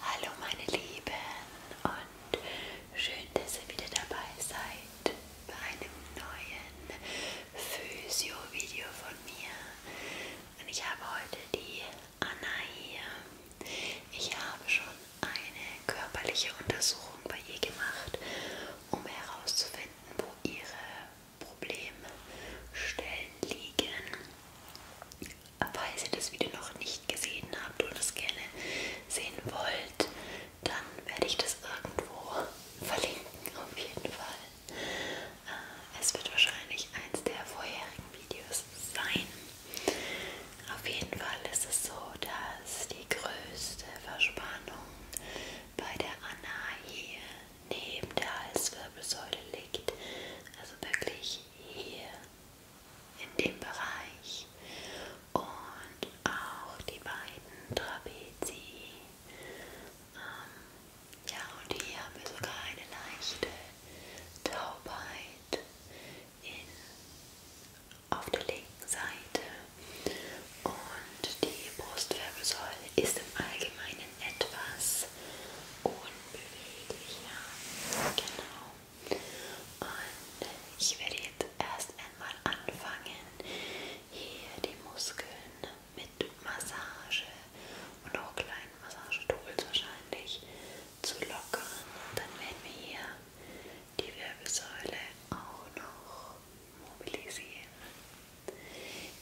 Hallo meine Lieben und schön, dass ihr wieder dabei seid bei einem neuen Physio-Video von mir. Und ich habe heute die Anna hier. Ich habe schon eine körperliche Untersuchung bei ihr gemacht, um herauszufinden, wo ihre Problemstellen liegen falls ihr das Video noch nicht gesehen habt und es gerne sehen wollt, dann werde ich das irgendwo verlinken, auf jeden Fall. Äh, es wird wahrscheinlich eins der vorherigen Videos sein. Auf jeden Fall ist es so, dass die größte Verspannung bei der Anna hier neben der Halswirbelsäule liegt. Also wirklich gleich hier in dem Bereich und auch die beiden Trapezi. Ähm, ja, und hier haben wir sogar eine leichte Taubheit in, auf der linken Seite. Und die Brustwirbelsäule ist im Allgemeinen etwas unbeweglicher. Genau. Und ich werde jetzt erst einmal anfangen, hier die Muskeln mit Massage und auch kleinen Massagetools wahrscheinlich zu lockern. Und dann werden wir hier die Wirbelsäule auch noch mobilisieren.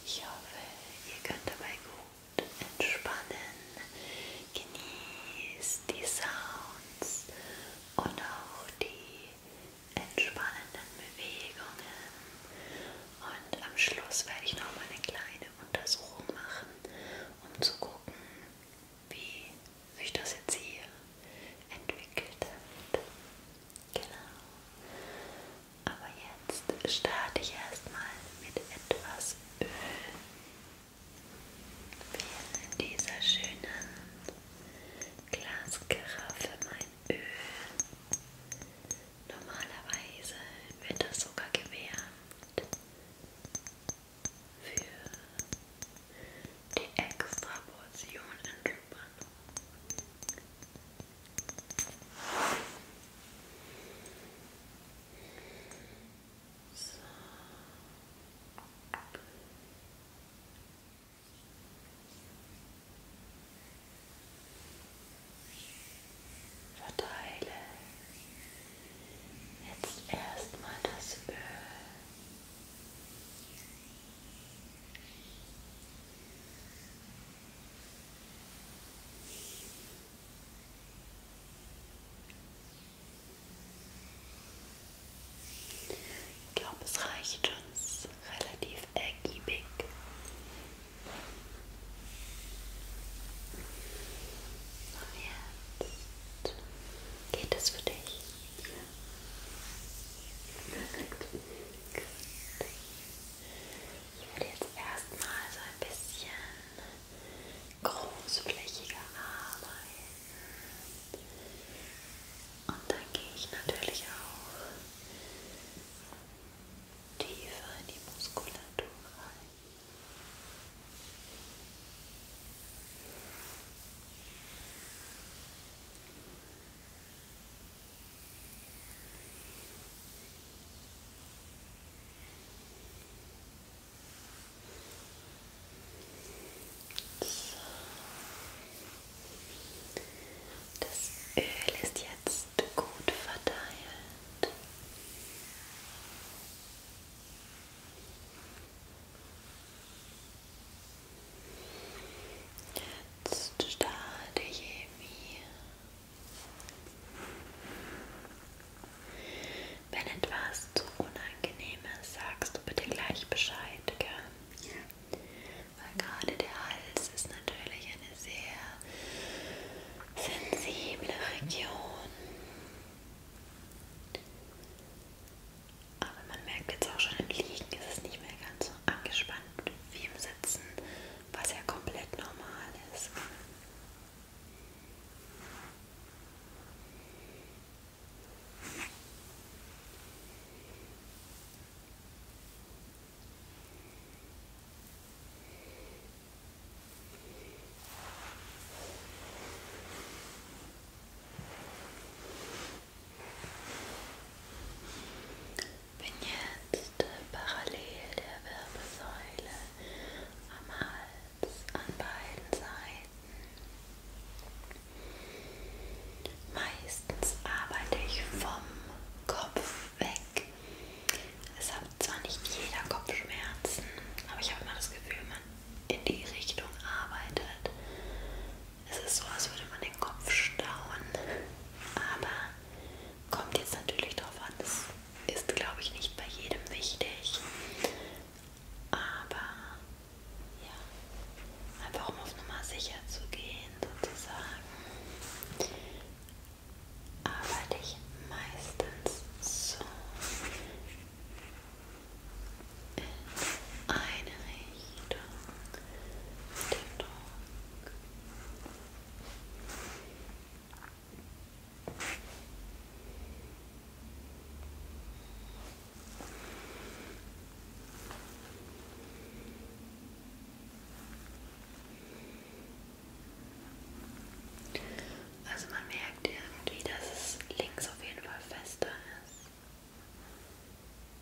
Ich hoffe, ihr könnt dabei gut und entspannen. Genieß die Sounds und auch die entspannenden Bewegungen. Und am Schluss werde ich noch mal eine kleine Untersuchung machen, um zu gucken, wie sich das jetzt hier entwickelt hat. Genau. Aber jetzt starte ich erstmal mit etwas Öl. Wir in dieser schönen Glaskaraffe mein Öl. Normalerweise wird das sogar gewärmt für die extra Portion Entspannung. So. Verteile jetzt erstmal das Öl. Über ich glaube, es reicht uns relativ ergiebig. Und jetzt geht es für dich. Ja. Perfekt. Gut. Ich würde jetzt erstmal so ein bisschen großflächiger arbeiten. Und dann gehe ich natürlich auch tiefer in die Muskulatur rein. Und das Öl ist jetzt gut verteilt. Jetzt starte ich mir wenn etwas zu unangenehm ist, sagst du bitte gleich Bescheid, gell? Ja. Weil gerade der Hals ist natürlich eine sehr sensible Region. Aber man merkt jetzt auch schon im Liegen ist es nicht mehr ganz so angespannt wie im Sitzen was ja komplett normal ist bin jetzt parallel der Wirbelsäule am Hals an beiden Seiten. Meistens arbeite ich vom Kopf weg. Es hat zwar nicht jeder Kopfschmerzen, aber ich habe immer das Gefühl, man in die Richtung arbeitet. Es ist so, als würde man den Kopf stauen, aber Kommt jetzt natürlich drauf an, das ist glaube ich nicht bei jedem wichtig. Aber ja, einfach um auf Nummer sicher zu gehen sozusagen, arbeite ich meistens so in eine Richtung mit dem Druck Also man merkt irgendwie, dass es links auf jeden Fall fester ist.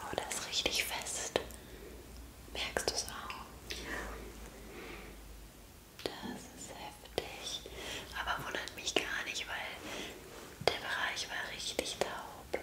Oh, das ist richtig fest. Merkst du es auch? Ja. Das ist heftig. Aber wundert mich gar nicht, weil der Bereich war richtig taub.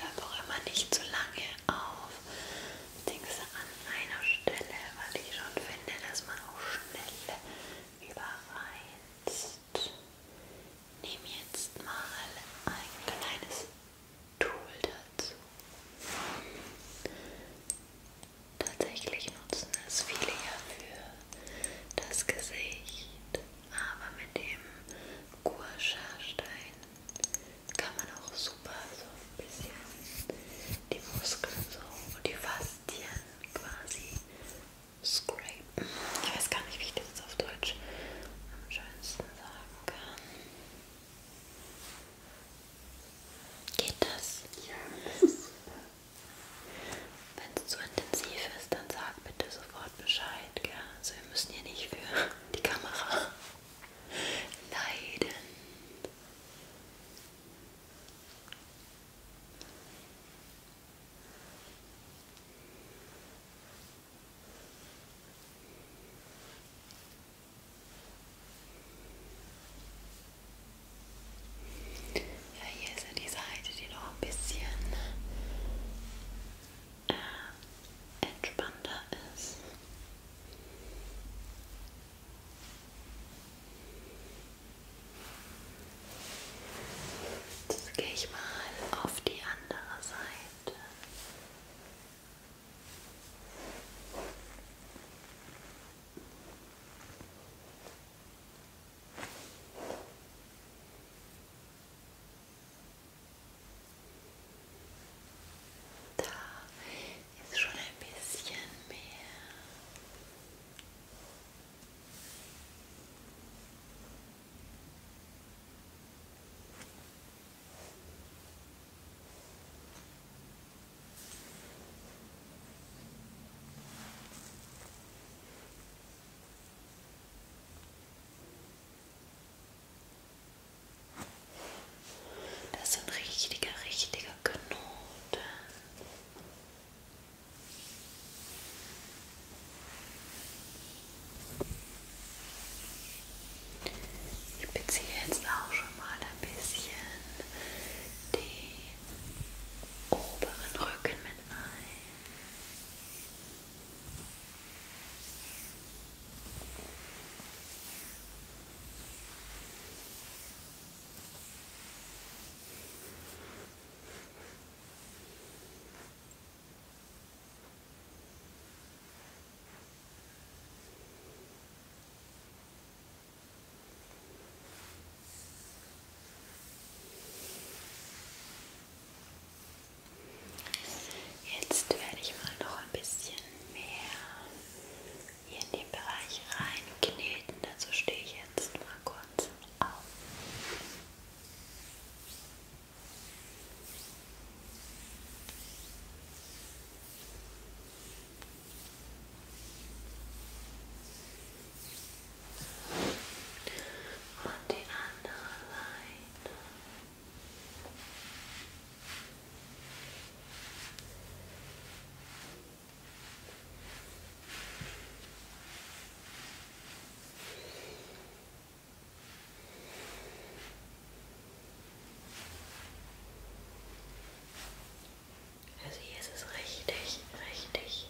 Hör auch immer nicht zu so lange auf. Denkst an einer Stelle, weil ich schon finde, dass man auch schnell überreizt hast. Nimm jetzt mal ein kleines Tool dazu. Tatsächlich nutzen es viele ja für das Gesicht, aber mit dem Guasha-Stein kann man auch super so ein bisschen die Muskeln so und die Faszien quasi Scrape. Ich weiß gar nicht, wie ich das jetzt auf Deutsch am schönsten sagen kann. Geht das? Ja, das ist super. Wenn es zu intensiv ist, dann sag bitte sofort Bescheid. Gell? Also wir müssen hier nicht für die Kamera leiden. Ja, hier ist ja die Seite, die noch ein bisschen äh, entspannter ist. Jetzt gehe ich mal auf die andere Seite. Da ist schon ein bisschen mehr. Das sind richtige, richtige Knoten. Ich beziehe jetzt auch schon mal ein bisschen den oberen Rücken mit ein. Und Jetzt werde ich mal noch ein bisschen mehr hier in den Bereich reinkneten. Dazu stehe ich jetzt mal kurz auf. Und die andere Seite. Und also hier ist es richtig, richtig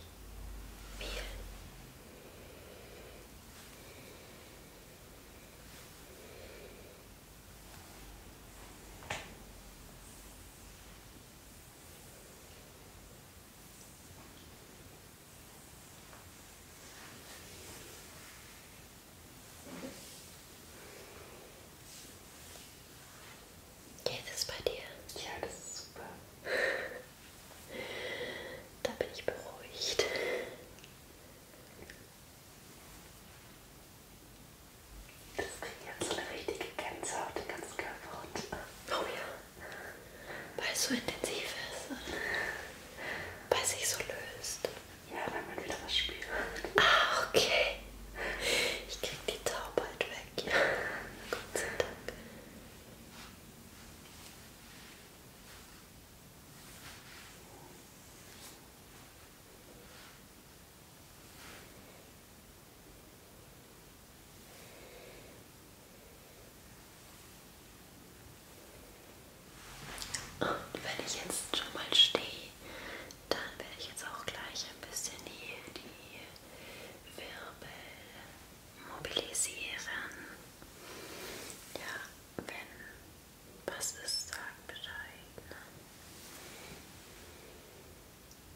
viel. Geht es bei dir? Ja, das ist super. da bin ich beruhigt. Das kriegt jetzt eine richtige Gänsehaut, den ganzen Körper runter. Oh ja. Weil es so intensiv ist. Weil es sich so löst. Ja, weil man wieder was spürt. Ah, okay. Ich krieg die Taubheit weg. Ja. Gott sei Dank. Und wenn ich jetzt schon mal stehe, dann werde ich jetzt auch gleich ein bisschen hier die Wirbel mobilisieren. Ja, wenn was ist, sag Bescheid. Ne?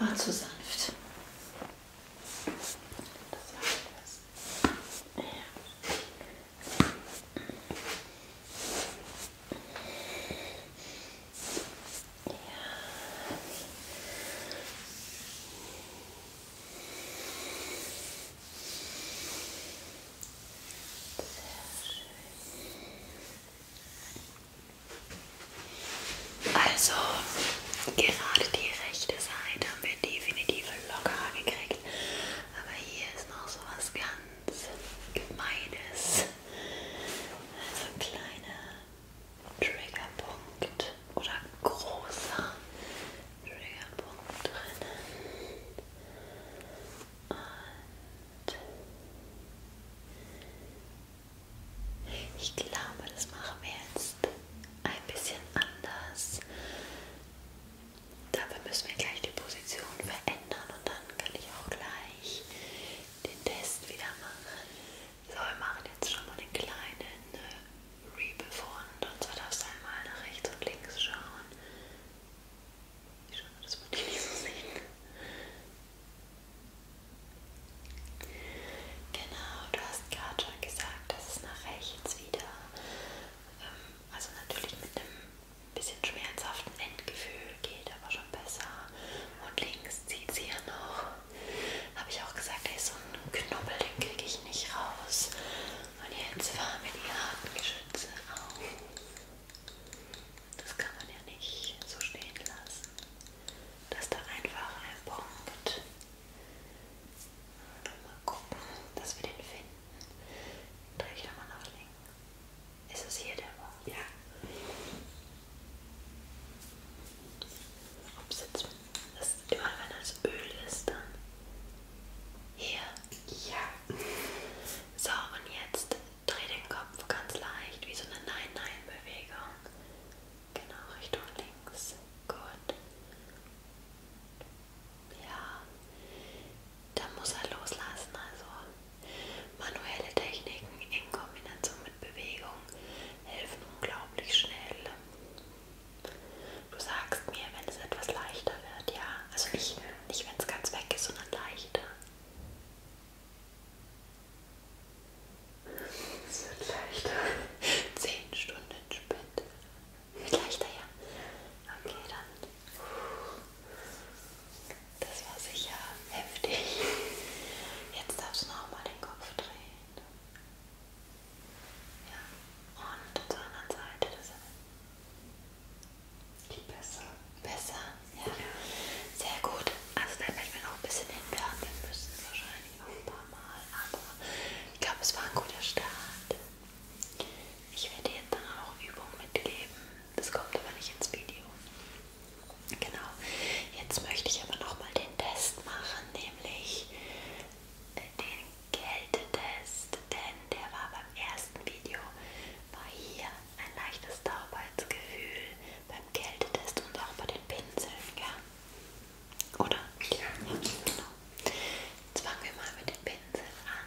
War zu sanft. Das war alles. Ja. Ja. Also, gerade die rechte Seite haben wir definitiv locker gekriegt, aber hier ist noch so was ganz ganz gemeines, also kleiner Triggerpunkt oder großer Triggerpunkt drinnen. Und ich glaube, das machen wir jetzt ein bisschen anders. Dafür müssen wir gleich die Position verändern und dann kann ich auch gleich den Test wieder machen. So, wir machen jetzt schon mal einen kleinen äh, Rebefund und so darfst du einmal nach rechts und links schauen. Ich schaue, das man die nicht so sehen. Genau, du hast gerade schon gesagt, dass es nach rechts wieder, ähm, also natürlich mit einem bisschen schmerzhaften Endgefühl, geht aber schon besser. Und links zieht sie ja noch. Habe ich auch gesagt, ey, so einen Knubbel, den kriege ich nicht raus. Und jetzt fahren wir die Hartgeschütze auf. Das kann man ja nicht so stehen lassen. Das ist doch einfach ein Punkt. Mal gucken, dass wir den finden. Drehe ich nochmal nach links. Ist es hier der Mond? Ja. Ob es jetzt das, immer wenn das Öl ist, dann hier. Ja. So, und jetzt dreh den Kopf ganz leicht, wie so eine Nein-Nein-Bewegung. Genau, Richtung links. Gut. Ja dann muss er loslassen. Also manuelle Techniken in Kombination mit Bewegung helfen unglaublich schnell. Du sagst mir, wenn es etwas leichter wird, ja. Also nicht, nicht wenn es ganz weg ist, sondern leichter. Es wird leichter. Zehn Stunden spät. Wird leichter, ja. Okay, dann das war sicher heftig. Jetzt darfst du noch mal den Kopf drehen. Ja. Und zur anderen Seite. Das Besser. Besser, ja. ja. Sehr gut. Also da werden wir noch ein bisschen hinwerfen müssen, wahrscheinlich auch ein paar Mal. Aber ich glaube, es war ein guter Start. Ich werde dir jetzt dann auch Übungen mitgeben, das kommt aber nicht ins Video. Genau. Jetzt möchte ich aber nochmal den Test machen, nämlich äh, den Kältetest, denn der war beim ersten Video, war hier ein leichtes Taubheitsgefühl beim Kältetest und auch bei den Pinseln, ja? Oder? Ja. ja genau. Jetzt fangen wir mal mit den Pinseln an.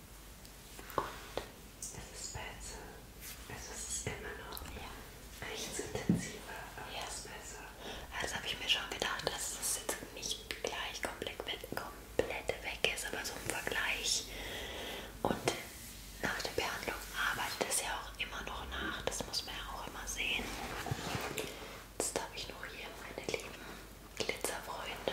Und es ist besser. Also es ist immer noch ja. nichts intensiver, aber ja. es ist besser. Also habe ich mir schon gedacht, dass es jetzt nicht gleich komplett, komplett weg ist, aber so im Vergleich. Und nach der Behandlung arbeitet es ja auch immer noch nach. Das muss man ja auch immer sehen. Jetzt habe ich noch hier meine lieben Glitzerfreunde.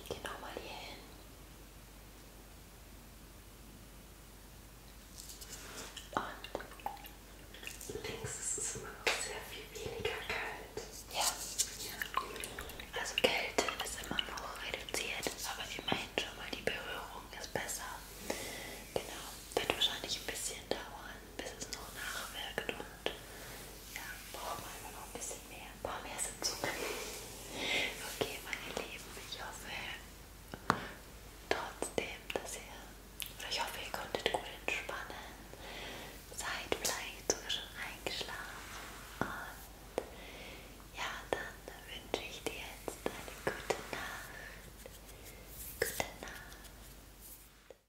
Ich gehe nochmal hier hin. Und links ist es immer noch sehr viel weniger kalt. Ja. ja. Also Kälte ist immer noch reduziert, aber immerhin schon mal die Berührung ist besser. Genau. Wird wahrscheinlich ein bisschen dauern, bis es noch nachwirkt und ja, brauchen wir immer noch ein bisschen bisschen mehr, ein paar mehr Sitzungen. Okay, meine Lieben, ich hoffe trotzdem, dass ihr, oder ich hoffe, ihr konntet gut entspannen. Seid vielleicht sogar schon eingeschlafen. Und ja, dann wünsche ich dir jetzt eine gute Nacht. Gute Nacht.